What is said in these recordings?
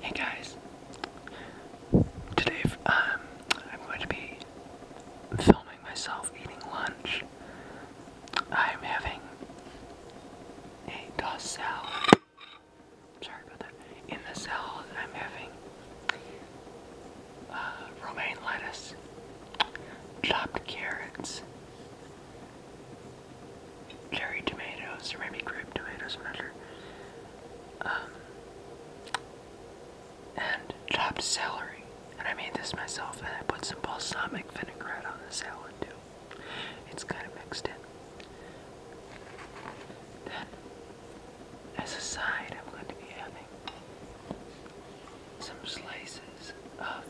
Hey guys, today um, I'm going to be filming myself eating lunch. I'm having a toss Sorry about that. In the salad, I'm having uh, romaine lettuce, chopped carrots, cherry tomatoes, or grape tomatoes, i um, and chopped celery. And I made this myself, and I put some balsamic vinaigrette on the salad too. It's kind of mixed in. as a side, I'm going to be having some slices of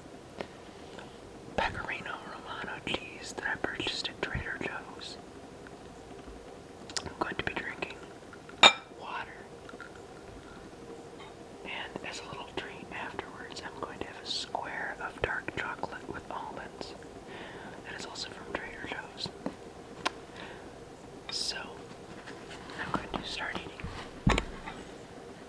pecorino romano cheese that I purchased at Trader Joe's. I'm going to be drinking water. And as a little treat afterwards, I'm going to have a square of dark chocolate with almonds. That is also from Trader Joe's. So, I'm going to start eating.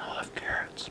I love carrots.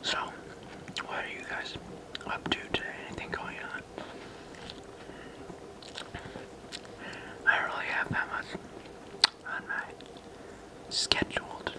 So, what are you guys up to today? Anything going on? I really have that much on my schedule today.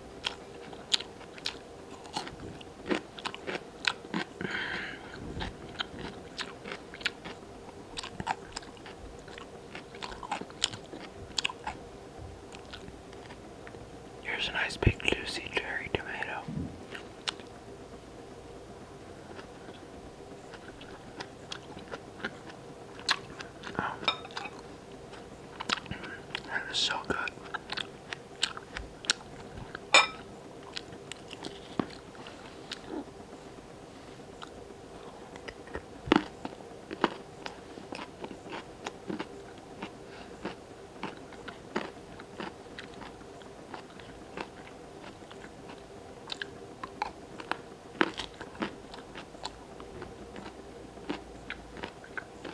Here's a nice big juicy cherry tomato. Oh. That is so good.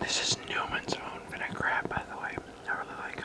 This is Newman's own vinaigrette, by the way. I really like it.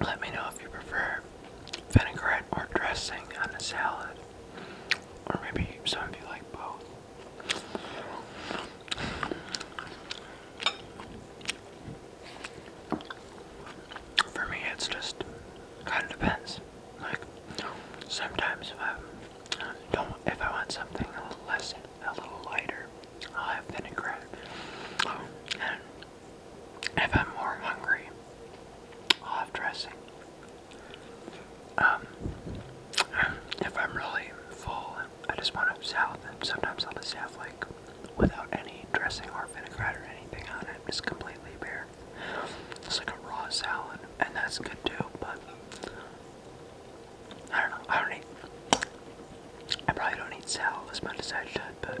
Let me know if you prefer vinaigrette or dressing on a salad, or maybe some of you like both. For me, it's just kind of depends. Like sometimes if um, I don't, if I want something a little less, a little lighter, I'll have vinaigrette. and if I'm more hungry, I'll have dressing. Um, if I'm really full, I just want a salad. And sometimes I'll just have like without any dressing or vinaigrette or anything on it, just completely bare. It's like a raw salad, and that's good too. But I don't know. I don't eat. I probably don't eat salad as much as I should, but.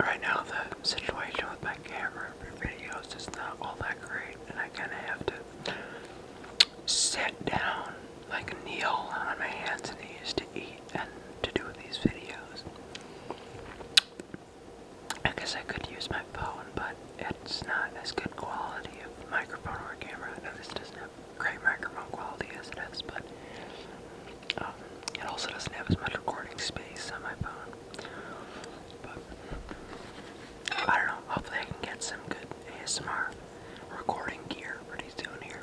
Right now, the situation with my camera for videos is not all that great, and I kind of have to sit down, like kneel on my hands and knees to eat and to do these videos. I guess I could use my phone, but it's not as good quality of microphone or camera. this doesn't have great microphone quality as it is, but um, it also doesn't have as much recording space on my phone. But I don't know. Hopefully, I can get some good ASMR recording gear pretty soon here.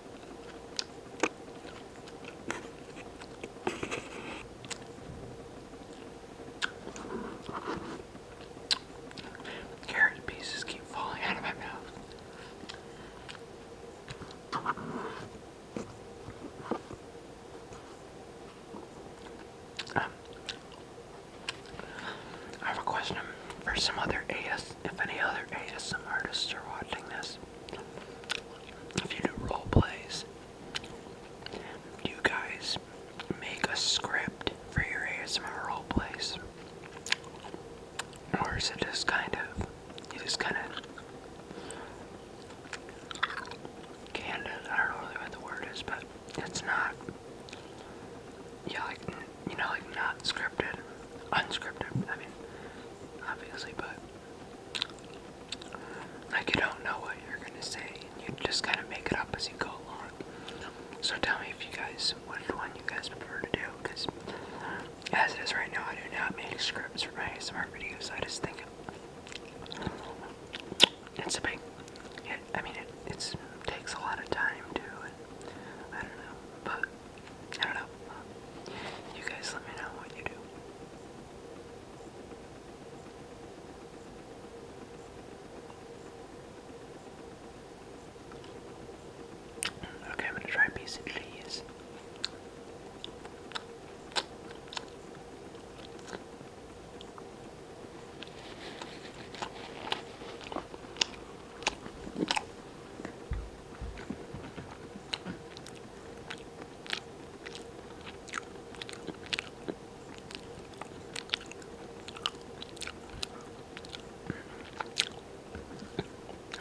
Carrot pieces keep falling out of my mouth. Um, I have a question for some other AS, if any other ASM artists are watching this, if you do role plays, do you guys make a script for your ASMR role plays, or is it just kind of you just kind of candid? I don't know really what the word is, but it's not. Yeah, you know, like not scripted, unscripted. I mean, obviously, but like you don't know what you're gonna say, and you just kind of make it up as you go along. So tell me if you guys, which one you guys prefer to do, because as it is right now, I do not make scripts for my ASMR videos. I just think it's a big. It, I mean, it it's, takes a lot of time too. I don't know, but. I don't know. you guys let me know what you do. Okay, I'm gonna try a piece of cheese.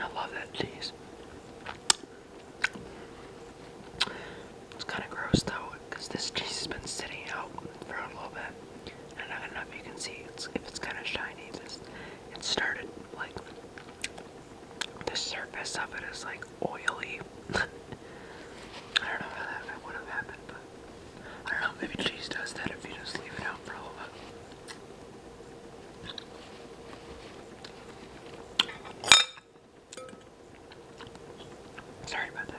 I love that cheese. It's kind of gross though, because this cheese has been sitting out for a little bit, and I don't know if you can see it's, if it's kind of shiny. This it started like the surface of it is like oily. I don't know how that would have happened, but I don't know, maybe cheese does that if you just leave it out for a little Sorry about that.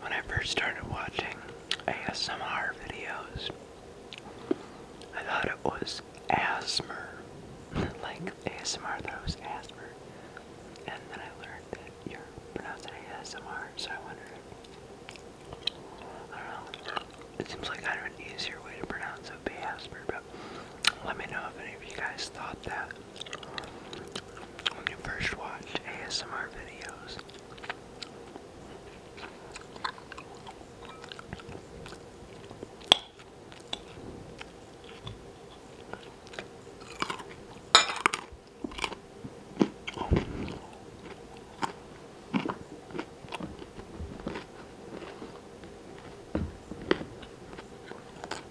When I first started watching ASMR videos, I thought it was asthma. like ASMR thought it was asthma. And then I learned that you're pronouncing ASMR, so I wonder, if, I don't know. It seems like kind of an easier way to pronounce it would be asthma, but let me know if any of you guys thought that when you first watch ASMR videos.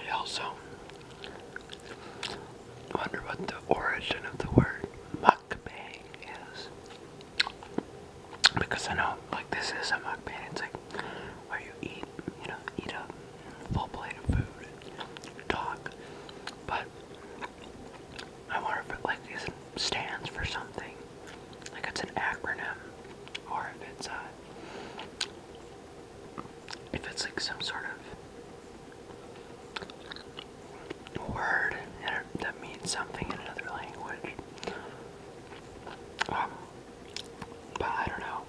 I also wonder what the origin of the word mukbang is. Because I know, like, this is a mukbang. It's like where you eat, you know, eat up full plate of food and talk. But I wonder if it like is stands for something. Like it's an acronym. Or if it's a uh, if it's like some sort of word that means something in another language. Um, but I don't know.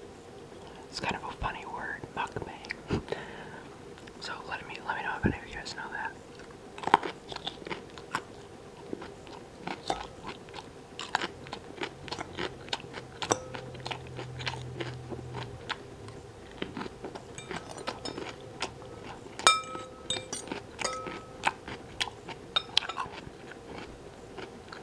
It's kind of a funny word, mukbang. so let me let me know if any of you guys know that.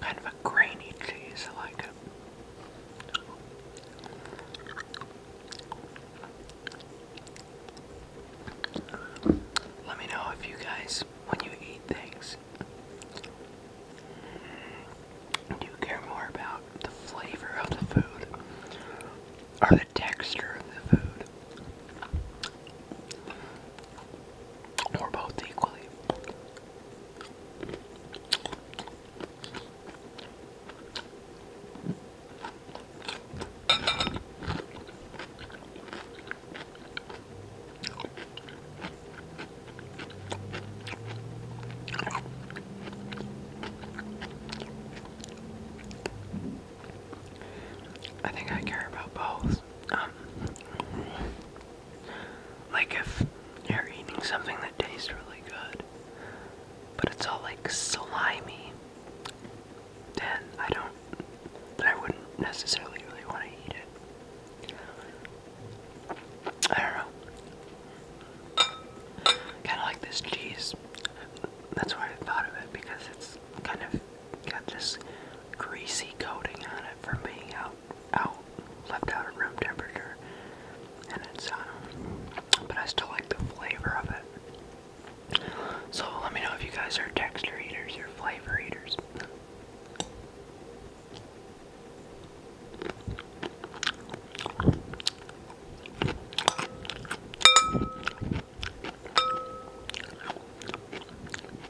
Kind of a grainy cheese, I like it. Let me know if you guys, when you eat things, do you care more about the flavor of the food or the texture of the food? Or both equally. I think I care about both. Um, like if you're eating something that tastes really good, but it's all like slimy, then I don't, then I wouldn't necessarily really want to eat it. I don't know. Kind of like this cheese. That's why I thought of it because it's kind of got this greasy coating on it from being out out, left out at room temperature, and it's uh, but I still like the flavor of it. So let me know if you guys are texture eaters or flavor eaters.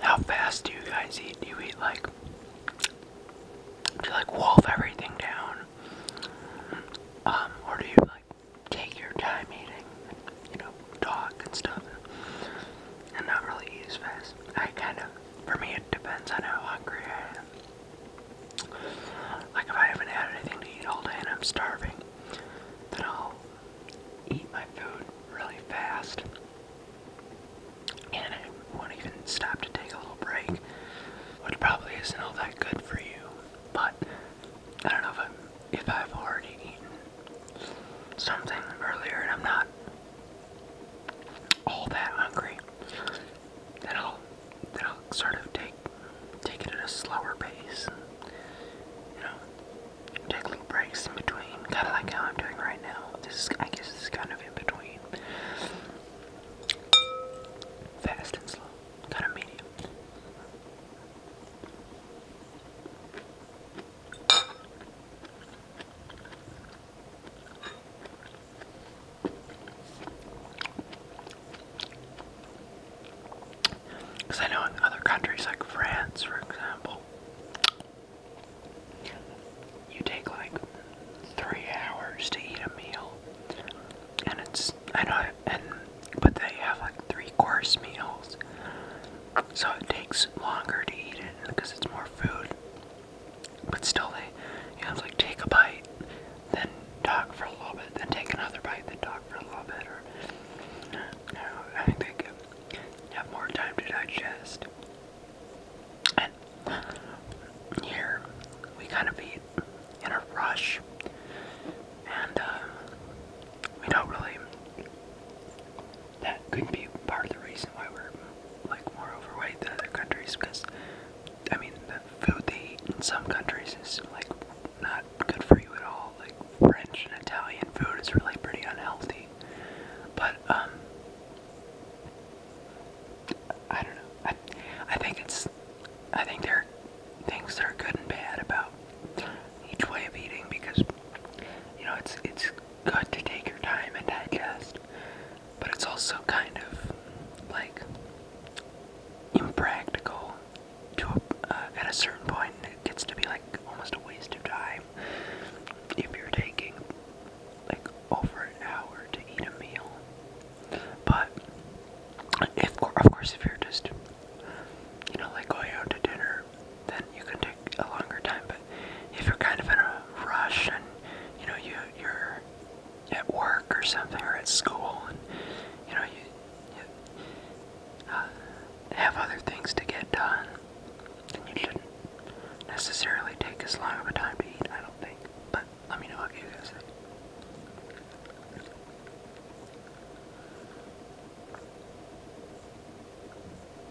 How fast do you guys eat? Do you eat like do you like wolf everything down? Um, or do you like take your time eating, you know, dog and stuff? and not really use fast. I kind of, for me, it depends on how hungry I am. Like if I haven't had anything to eat all day and I'm starving, then I'll eat my food really fast. And I won't even stop to take a little break, which probably isn't all that good for you. But I don't know if, I'm, if I've already eaten something earlier and I'm not all that hungry, then I'll then I'll sort of take take it at a slower pace. you know, take little breaks in between, kind of like how I'm doing right now. This is, I guess, this is kind of in between, fast and slow, kind of medium. Because I know in other countries, like France, for example, you take like three hours to eat a meal, and it's I know, and but they have like three course meals, so it takes longer to eat it because it's more food. But still, they you have to like take a bite, then talk for a little bit, then take another bite, then talk for a little bit, or I think have more time to digest. And here we kind of eat in a rush, and uh, we don't really that could be part of the reason why we're like more overweight than other countries because I mean the food they eat in some countries is like not good for you at all. Like French and Italian food is really pretty unhealthy. But um I don't know. I I think it's I think there are things that are good and bad about each way of eating because you know it's it's good to take your time and digest, but it's also kind of like impractical to uh, at a certain point it gets to be like almost a waste of time if you're taking like over an hour to eat a meal but if of course if you're just you know like going out to dinner then you can take a longer time if you're kind of in a rush and you know you you're at work or something or at school and you know you, uh, have other things to get done, then you shouldn't necessarily take as long of a time to eat. I don't think, but let me know what you guys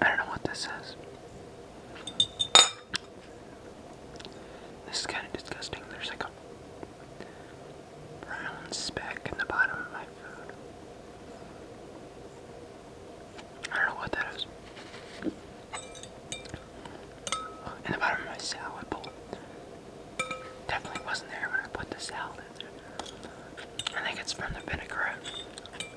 I don't know what this is. This is kind of disgusting. There's like a brown speck in the bottom of my food. I don't know what that is. In the bottom of my salad bowl. Definitely wasn't there when I put the salad in there. I think it's from the vinaigrette.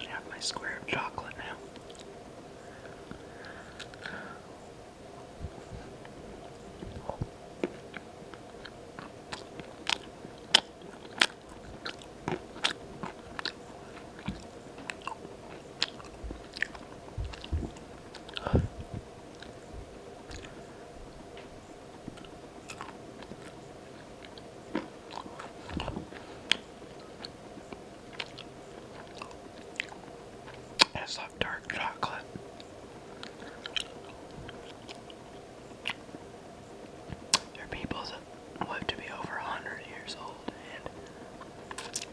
I have my square of chocolate now. I just dark chocolate. There are people that live to be over 100 years old, and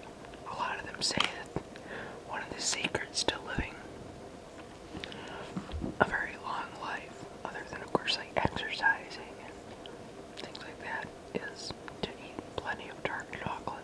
a lot of them say that one of the secrets to living a very long life, other than, of course, like exercising and things like that, is to eat plenty of dark chocolate.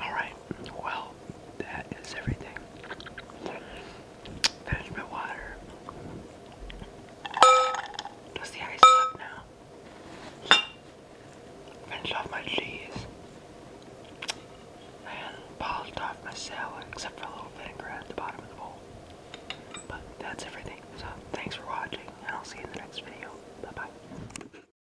Alright, well, that is everything. There's my water. Does the ice up now? Finish off my cheese. And off my salad, except for a little vinaigrette at the bottom of the bowl. But that's everything. So, thanks for watching, and I'll see you in the next video. Bye bye.